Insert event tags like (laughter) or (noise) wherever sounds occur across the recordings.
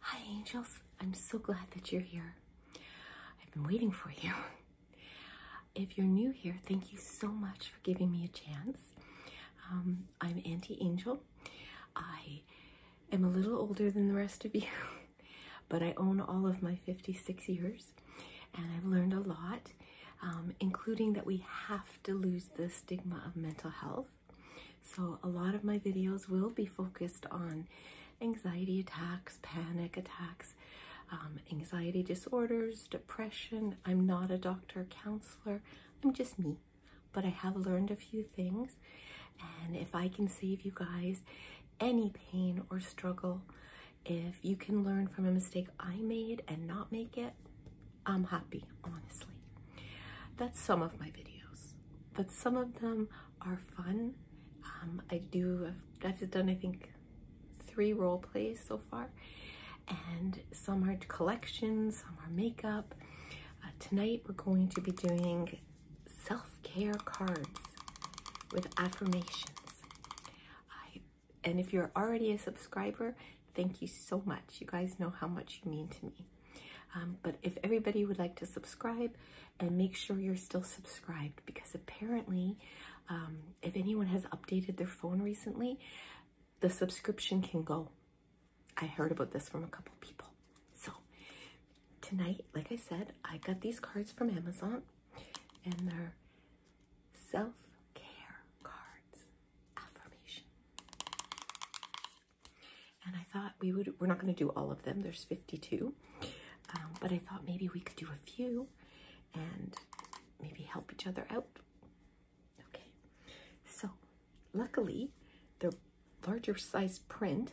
Hi, angels. I'm so glad that you're here. I've been waiting for you. If you're new here, thank you so much for giving me a chance. Um, I'm Auntie Angel. I am a little older than the rest of you, (laughs) but I own all of my 56 years and I've learned a lot, um, including that we have to lose the stigma of mental health so, a lot of my videos will be focused on anxiety attacks, panic attacks, um, anxiety disorders, depression. I'm not a doctor, counselor, I'm just me. But I have learned a few things, and if I can save you guys any pain or struggle, if you can learn from a mistake I made and not make it, I'm happy, honestly. That's some of my videos but some of them are fun. Um, I do, I've, done I think three role plays so far and some are collections, some are makeup. Uh, tonight we're going to be doing self-care cards with affirmations. and if you're already a subscriber, thank you so much. You guys know how much you mean to me. Um, but if everybody would like to subscribe and make sure you're still subscribed because apparently um, if anyone has updated their phone recently, the subscription can go. I heard about this from a couple people. So tonight, like I said, I got these cards from Amazon and they're self-care cards affirmation and I thought we would, we're not going to do all of them, there's 52. Um, but I thought maybe we could do a few and maybe help each other out. Okay, so luckily the larger size print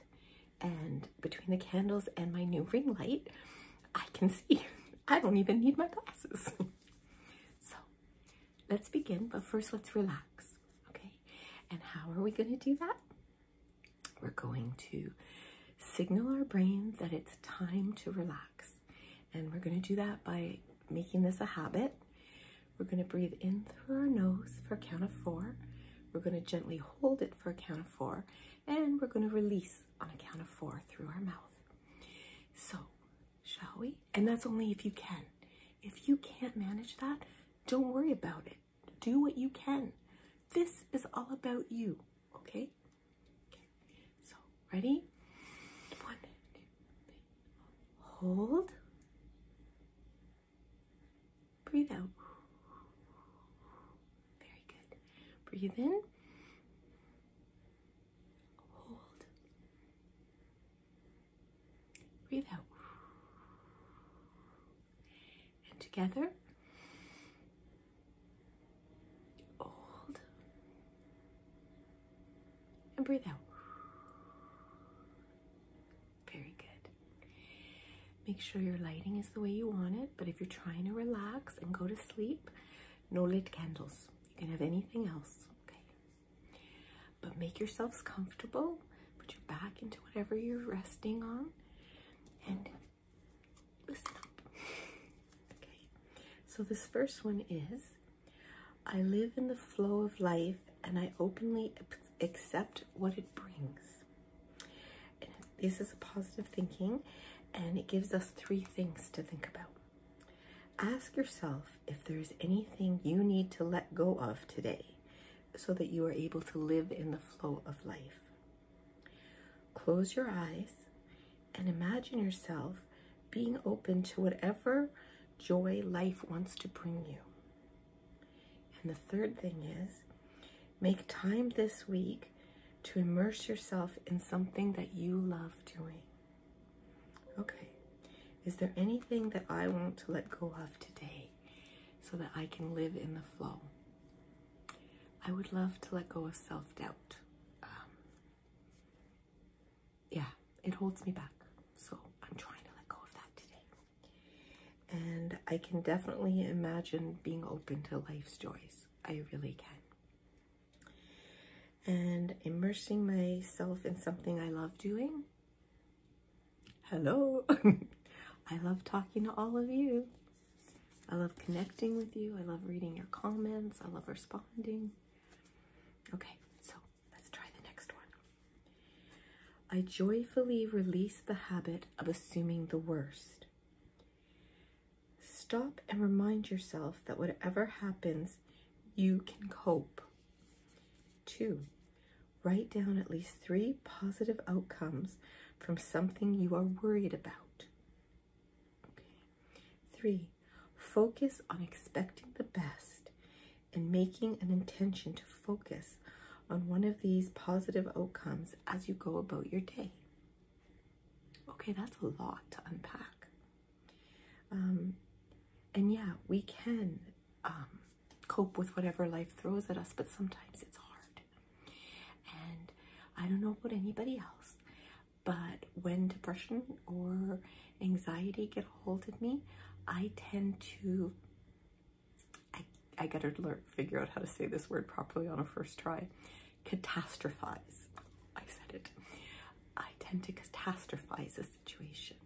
and between the candles and my new ring light, I can see. (laughs) I don't even need my glasses. (laughs) so Let's begin, but first let's relax, okay? And how are we going to do that? We're going to signal our brains that it's time to relax. And we're going to do that by making this a habit. We're going to breathe in through our nose for a count of four. We're going to gently hold it for a count of four. And we're going to release on a count of four through our mouth. So, shall we? And that's only if you can. If you can't manage that, don't worry about it. Do what you can. This is all about you, okay? So, ready? One, two, three. Hold. Breathe out. Very good. Breathe in. Hold. Breathe out. And together, hold. And breathe out. Very good. Make sure your lighting is the way you want it, but if you're trying to relax and go to sleep, no lit candles. You can have anything else, okay? but make yourselves comfortable. Put your back into whatever you're resting on and listen up. (laughs) okay, so this first one is I live in the flow of life and I openly accept what it brings. this is a positive thinking and it gives us three things to think about. Ask yourself, if there's anything you need to let go of today so that you are able to live in the flow of life. Close your eyes and imagine yourself being open to whatever joy life wants to bring you. And the third thing is make time this week to immerse yourself in something that you love doing. Okay. Is there anything that I want to let go of today so that I can live in the flow? I would love to let go of self doubt. Um, yeah, it holds me back. So I'm trying to let go of that today. And I can definitely imagine being open to life's joys. I really can and immersing myself in something I love doing Hello. (laughs) I love talking to all of you. I love connecting with you. I love reading your comments. I love responding. Okay, so let's try the next one. I joyfully release the habit of assuming the worst. Stop and remind yourself that whatever happens, you can cope. Two, Write down at least three positive outcomes from something you are worried about. Okay. Three, focus on expecting the best and making an intention to focus on one of these positive outcomes as you go about your day. Okay, that's a lot to unpack. Um, and yeah, we can um, cope with whatever life throws at us, but sometimes it's hard. And I don't know about anybody else, but when depression or anxiety get a hold of me, I tend to. I, I gotta learn, figure out how to say this word properly on a first try. Catastrophize. I said it. I tend to catastrophize a situation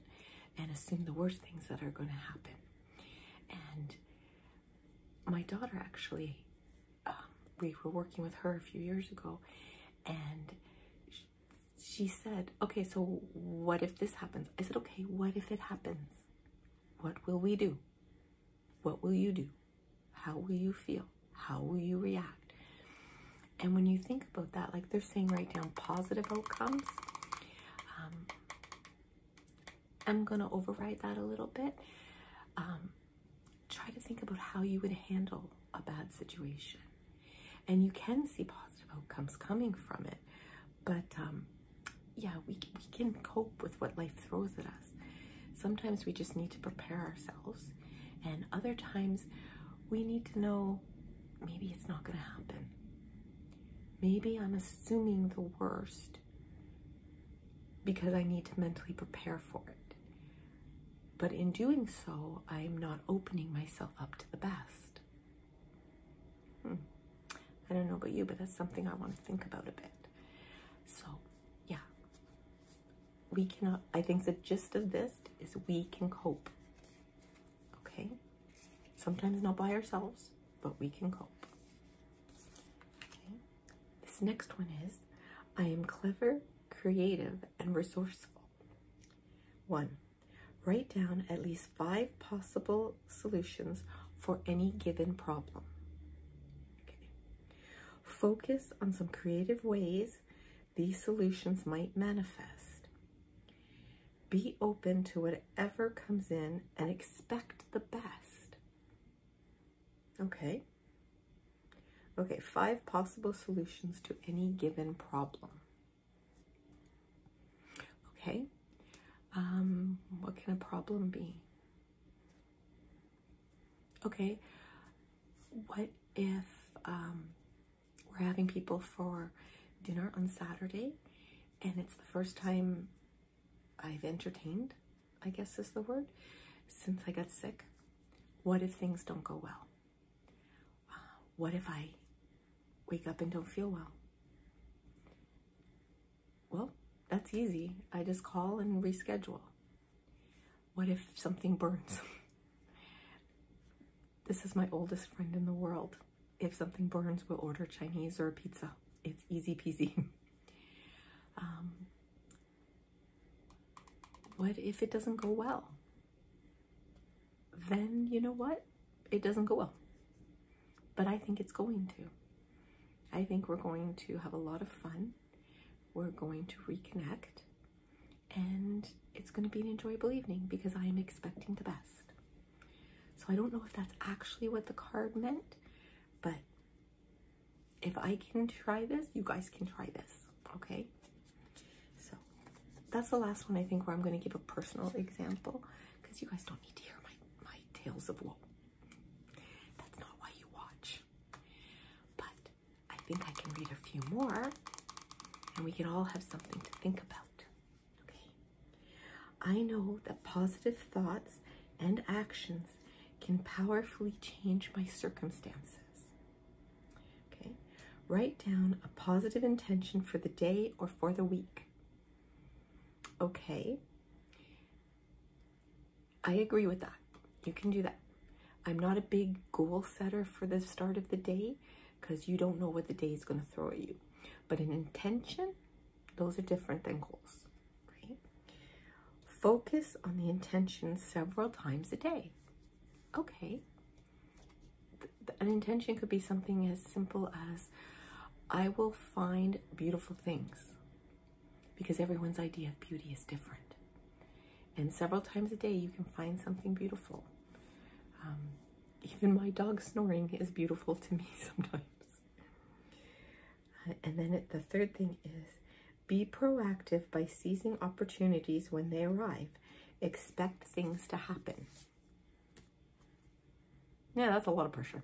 and assume the worst things that are going to happen. And my daughter actually, um, we were working with her a few years ago, and she said, Okay, so what if this happens? I said, Okay, what if it happens? What will we do? What will you do? How will you feel? How will you react? And when you think about that, like they're saying, write down positive outcomes um, I'm gonna override that a little bit. Um, try to think about how you would handle a bad situation, and you can see positive outcomes coming from it. But um, yeah, we we can cope with what life throws at us. Sometimes we just need to prepare ourselves, and other times we need to know maybe it's not gonna happen maybe I'm assuming the worst because I need to mentally prepare for it. But in doing so, I'm not opening myself up to the best. Hmm. I don't know about you, but that's something I want to think about a bit. So, yeah. We cannot, I think the gist of this is we can cope. Okay? Sometimes not by ourselves, but we can cope. Okay? This next one is I am clever, creative, and resourceful. One, write down at least five possible solutions for any given problem. Okay. Focus on some creative ways these solutions might manifest. Be open to whatever comes in and expect the best. Okay. Okay, five possible solutions to any given problem. Okay. Um, what can a problem be? Okay. What if um, we're having people for dinner on Saturday, and it's the first time I've entertained, I guess is the word, since I got sick. What if things don't go well? Uh, what if I wake up and don't feel well? Well, that's easy. I just call and reschedule. What if something burns? (laughs) this is my oldest friend in the world. If something burns, we'll order Chinese or pizza. It's easy peasy. (laughs) Um, what if it doesn't go well? Then you know what? It doesn't go well. But I think it's going to. I think we're going to have a lot of fun. We're going to reconnect. And it's going to be an enjoyable evening because I am expecting the best. So I don't know if that's actually what the card meant, but if I can try this, you guys can try this, okay? So that's the last one I think where I'm going to give a personal example because you guys don't need to hear my, my tales of woe. That's not why you watch. But I think I can read a few more and we can all have something to think about. Okay. I know that positive thoughts and actions can powerfully change my circumstances. Okay. Write down a positive intention for the day or for the week. Okay. I agree with that. You can do that. I'm not a big goal setter for the start of the day, because you don't know what the day is going to throw at you. But an intention, those are different than goals. Focus on the intention several times a day. Okay. An intention could be something as simple as, I will find beautiful things because everyone's idea of beauty is different. And several times a day, you can find something beautiful. Um, even my dog snoring is beautiful to me (laughs) sometimes. And then the third thing is be proactive by seizing opportunities when they arrive. Expect things to happen. Yeah, that's a lot of pressure.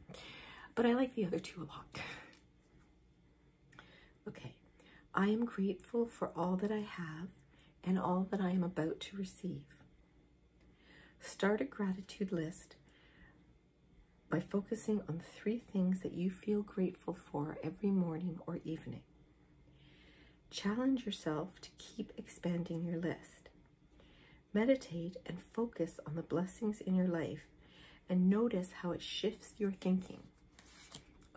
But I like the other two a lot. (laughs) okay. I am grateful for all that I have and all that I am about to receive. Start a gratitude list by focusing on three things that you feel grateful for every morning or evening. Challenge yourself to keep expanding your list. Meditate and focus on the blessings in your life and notice how it shifts your thinking.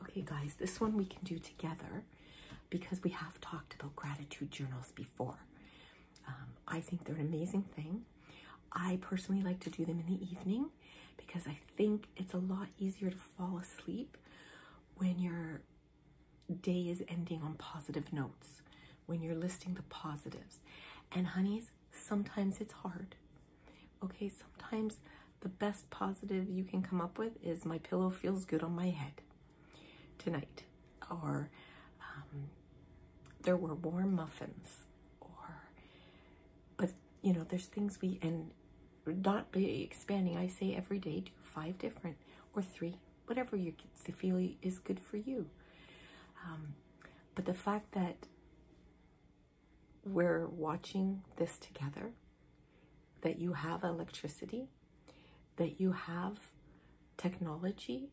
Okay, guys, this one we can do together because we have talked about gratitude journals before. Um, I think they're an amazing thing. I personally like to do them in the evening because I think it's a lot easier to fall asleep when your day is ending on positive notes, when you're listing the positives. And honeys, sometimes it's hard. Okay, sometimes the best positive you can come up with is my pillow feels good on my head tonight, or um, there were warm muffins, or, but you know, there's things we, and not be expanding, I say every day do five different or three, whatever your feel is good for you. Um, but the fact that we're watching this together, that you have electricity, that you have technology,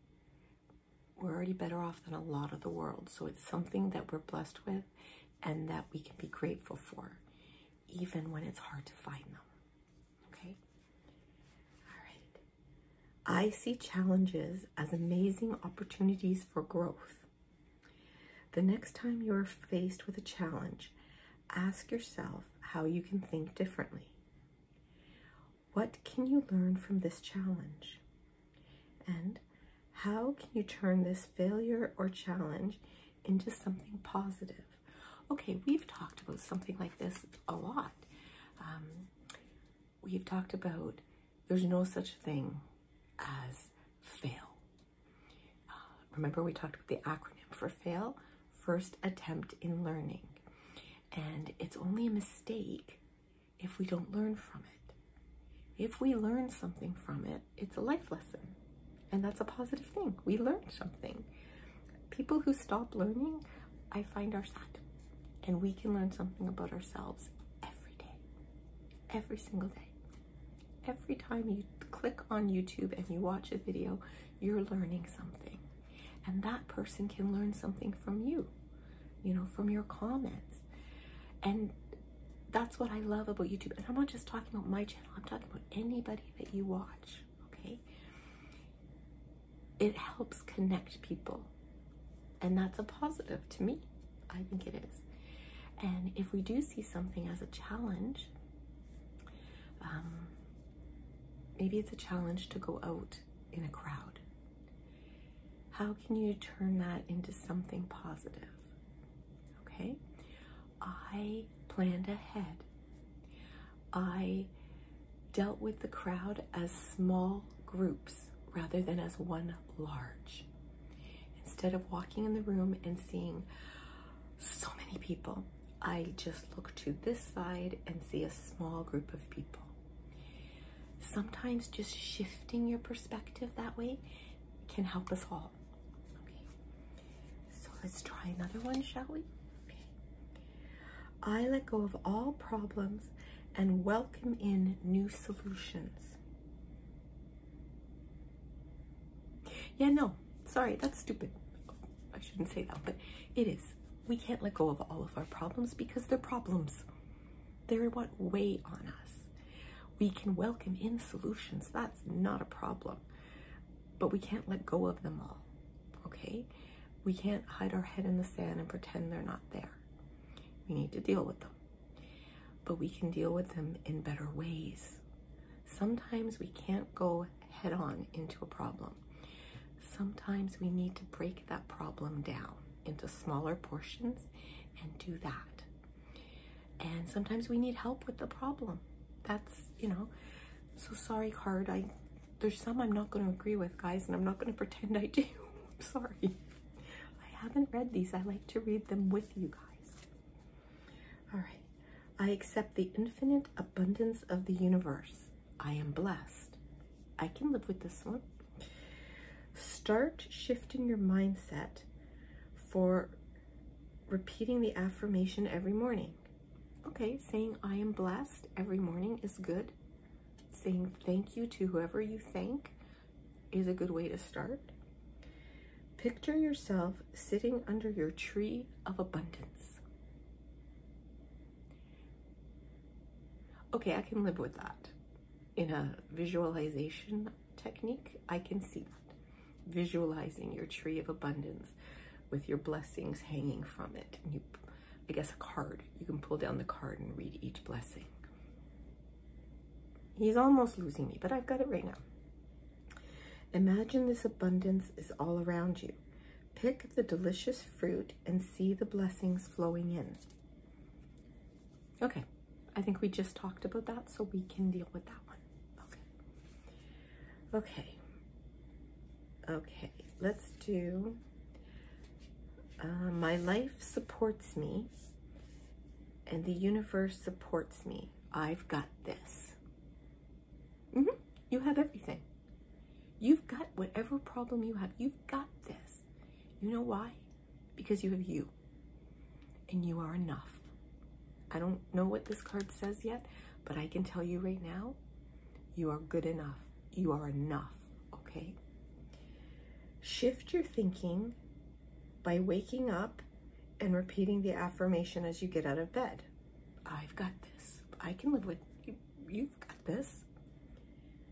we're already better off than a lot of the world. So it's something that we're blessed with and that we can be grateful for, even when it's hard to find them. Okay? All right. I see challenges as amazing opportunities for growth. The next time you are faced with a challenge, ask yourself how you can think differently. What can you learn from this challenge? And how can you turn this failure or challenge into something positive? Okay, we've talked about something like this a lot. Um, we've talked about there's no such thing as fail. Uh, remember we talked about the acronym for fail, first attempt in learning. And it's only a mistake if we don't learn from it. If we learn something from it, it's a life lesson. And that's a positive thing. We learn something. People who stop learning, I find are sad. And we can learn something about ourselves every day, every single day. Every time you click on YouTube and you watch a video you're learning something and that person can learn something from you you know from your comments and that's what i love about youtube and i'm not just talking about my channel i'm talking about anybody that you watch okay it helps connect people and that's a positive to me i think it is and if we do see something as a challenge um, maybe it's a challenge to go out in a crowd? How can you turn that into something positive? Okay, I planned ahead. I dealt with the crowd as small groups rather than as one large. Instead of walking in the room and seeing so many people, I just look to this side and see a small group of people. Sometimes just shifting your perspective that way can help us all. Okay. So let's try another one, shall we? I let go of all problems and welcome in new solutions. Yeah, no, sorry, that's stupid. I shouldn't say that, but it is. We can't let go of all of our problems because they're problems. They're what weigh on us. We can welcome in solutions. That's not a problem. But we can't let go of them all, okay? We can't hide our head in the sand and pretend they're not there. We need to deal with them. But we can deal with them in better ways. Sometimes we can't go head on into a problem. Sometimes we need to break that problem down into smaller portions and do that. And sometimes we need help with the problem. That's, you know, so sorry card. I there's some I'm not going to agree with, guys, and I'm not going (laughs) to pretend I do. (laughs) sorry. I haven't read these. I like to read them with you guys. All right. I accept the infinite abundance of the universe. I am blessed. I can live with this one. Start shifting your mindset for repeating the affirmation every morning. Okay, saying I am blessed every morning is good. Saying thank you to whoever you thank is a good way to start. Picture yourself sitting under your tree of abundance. Okay, I can live with that. In a visualization technique, I can see Visualizing your tree of abundance with your blessings hanging from it. And you, I guess a card. You can pull down the card and read each blessing. He's almost losing me, but I've got it right now. Imagine this abundance is all around you. Pick the delicious fruit and see the blessings flowing in. Okay, I think we just talked about that, so we can deal with that one. Okay. Okay. Okay, let's do uh, My Life Supports Me and the Universe Supports Me. I've got this. Mm-hmm. You have everything. You've got whatever problem you have. You've got this. You know why? Because you have you. And you are enough. I don't know what this card says yet, but I can tell you right now, you are good enough. You are enough, okay? Shift your thinking by waking up and repeating the affirmation as you get out of bed. I've got this. I can live with you've got this.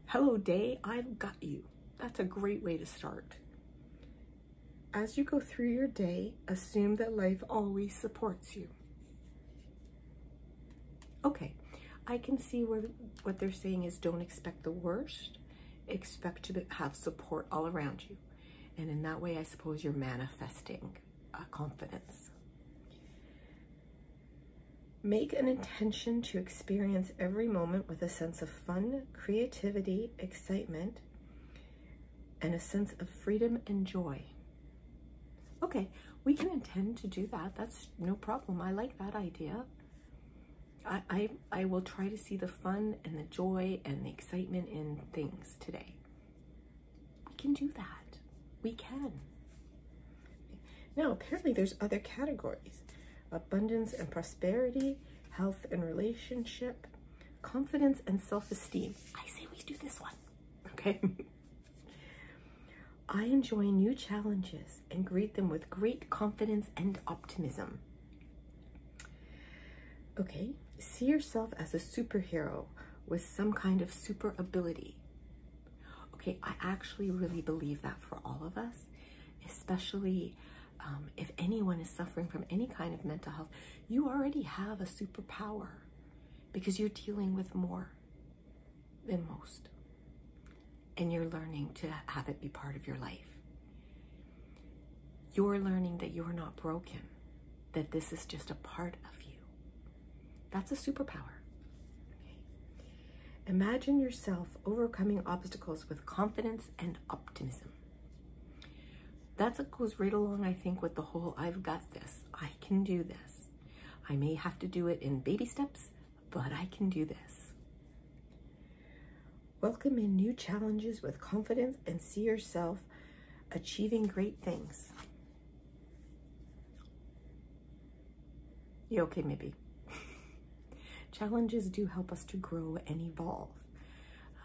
Hello day, I've got you. That's a great way to start. As you go through your day, assume that life always supports you. Okay, I can see where what they're saying is don't expect the worst, expect to have support all around you. And in that way, I suppose you're manifesting like uh, confidence. Make an intention to experience every moment with a sense of fun, creativity, excitement, and a sense of freedom and joy. Okay, we can intend to do that. That's no problem. I like that idea. I, I will try to see the fun and the joy and the excitement in things today. We can do that. We can. Now, apparently there's other categories. Abundance and prosperity, health and relationship, confidence and self-esteem. I say we do this one, okay? I enjoy new challenges and greet them with great confidence and optimism. Okay, see yourself as a superhero with some kind of super ability. Okay, I actually really believe that for all of us, especially um, if anyone is suffering from any kind of mental health, you already have a superpower because you're dealing with more than most. And you're learning to have it be part of your life. You're learning that you're not broken, that this is just a part of you that's a superpower. Imagine yourself overcoming obstacles with confidence and optimism. That's what goes right along, I think, with the whole I've got this, I can do this. I may have to do it in baby steps, but I can do this. Welcome in new challenges with confidence and see yourself achieving great things. Yeah, okay, maybe. (laughs) challenges do help us to grow and evolve.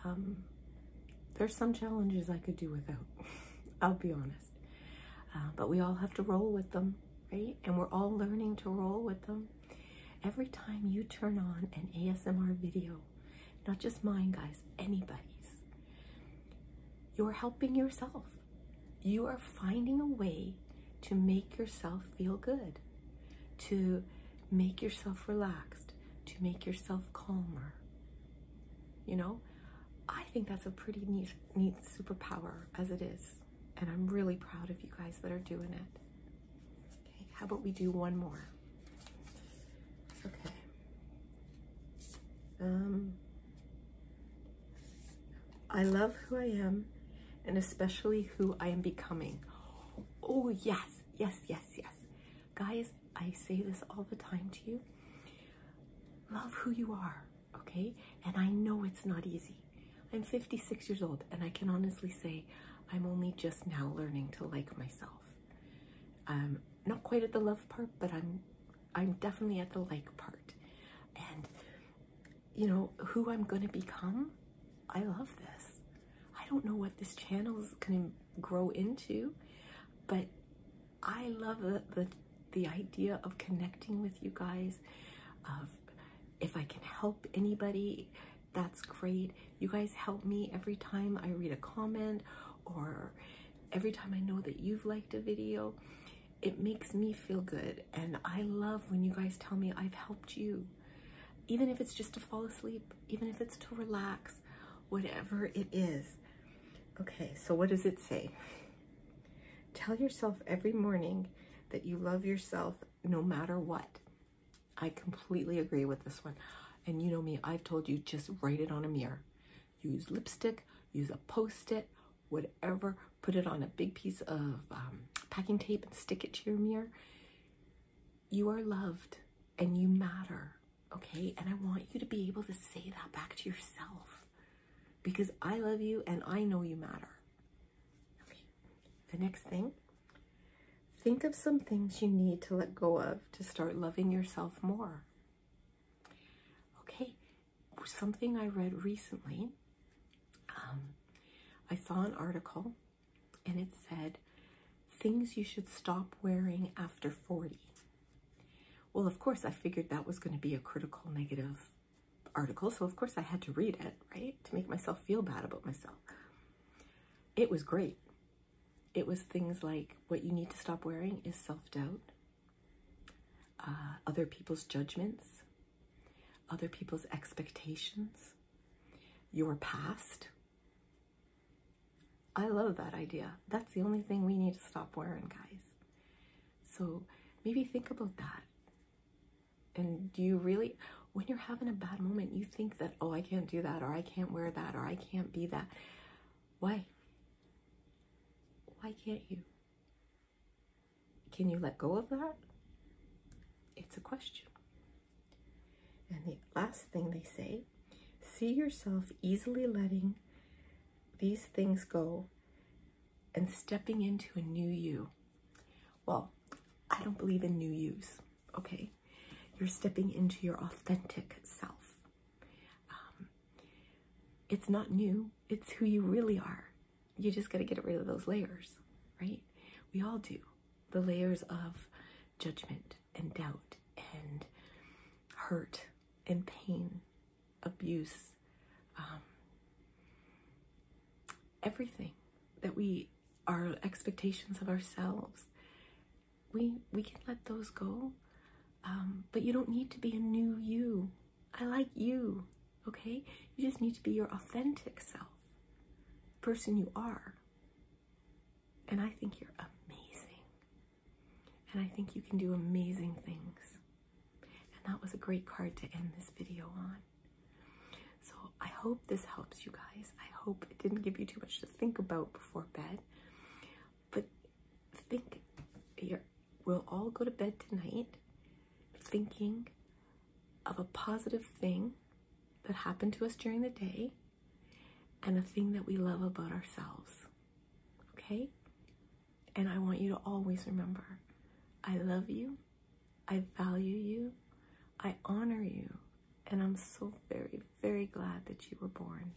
Um, there's some challenges I could do without, (laughs) I'll be honest. Uh, but we all have to roll with them, right? And we're all learning to roll with them. Every time you turn on an ASMR video, not just mine, guys, anybody's, you're helping yourself you are finding a way to make yourself feel good, to make yourself relaxed, to make yourself calmer. You know, I think that's a pretty neat, neat superpower as it is. And I'm really proud of you guys that are doing it. Okay, how about we do one more? Okay. Um, I love who I am and especially who I am becoming. Oh, yes, yes, yes, yes. Guys, I say this all the time to you. Love who you are, okay? And I know it's not easy. I'm 56 years old and I can honestly say I'm only just now learning to like myself. Um, not quite at the love part, but I'm I'm definitely at the like part. And you know, who I'm gonna become, I love this. I don't know what this channel is gonna grow into, but I love the, the, idea of connecting with you guys, of if I can help anybody, that's great. You guys help me every time I read a comment or every time I know that you've liked a video. It makes me feel good. And I love when you guys tell me I've helped you. Even if it's just to fall asleep, even if it's to relax, whatever it is. Okay, so what does it say? Tell yourself every morning that you love yourself no matter what. I completely agree with this one. And you know me, I've told you just write it on a mirror use lipstick, use a post-it, whatever, put it on a big piece of um, packing tape and stick it to your mirror. You are loved and you matter, okay? And I want you to be able to say that back to yourself because I love you and I know you matter. Okay, the next thing, think of some things you need to let go of to start loving yourself more. Okay, something I read recently. Um, I saw an article and it said things you should stop wearing after 40. Well, of course, I figured that was going to be a critical negative article, so of course I had to read it, right, to make myself feel bad about myself. It was great. It was things like what you need to stop wearing is self doubt, uh, other people's judgments, other people's expectations, your past. I love that idea. That's the only thing we need to stop wearing, guys. So maybe think about that. And do you really, when you're having a bad moment, you think that, oh, I can't do that, or I can't wear that, or I can't be that. Why? Why can't you? Can you let go of that? It's a question. And the last thing they say, see yourself easily letting these things go and stepping into a new you. Well, I don't believe in new yous, okay? You're stepping into your authentic self. Um, it's not new, it's who you really are. You just got to get rid of those layers, right? We all do. The layers of judgment and doubt and hurt and pain, abuse, um, everything that we, our expectations of ourselves, we, we can let those go. Um, but you don't need to be a new you I like you, okay? You just need to be your authentic self, person you are. And I think you're amazing. And I think you can do amazing things. And that was a great card to end this video on. So I hope this helps you guys. I hope it didn't give you too much to think about before bed. But think you're we'll all go to bed tonight thinking of a positive thing that happened to us during the day and a thing that we love about ourselves. Okay? And I want you to always remember I love you, I value you, I honor you, and I'm so very, very glad that you were born.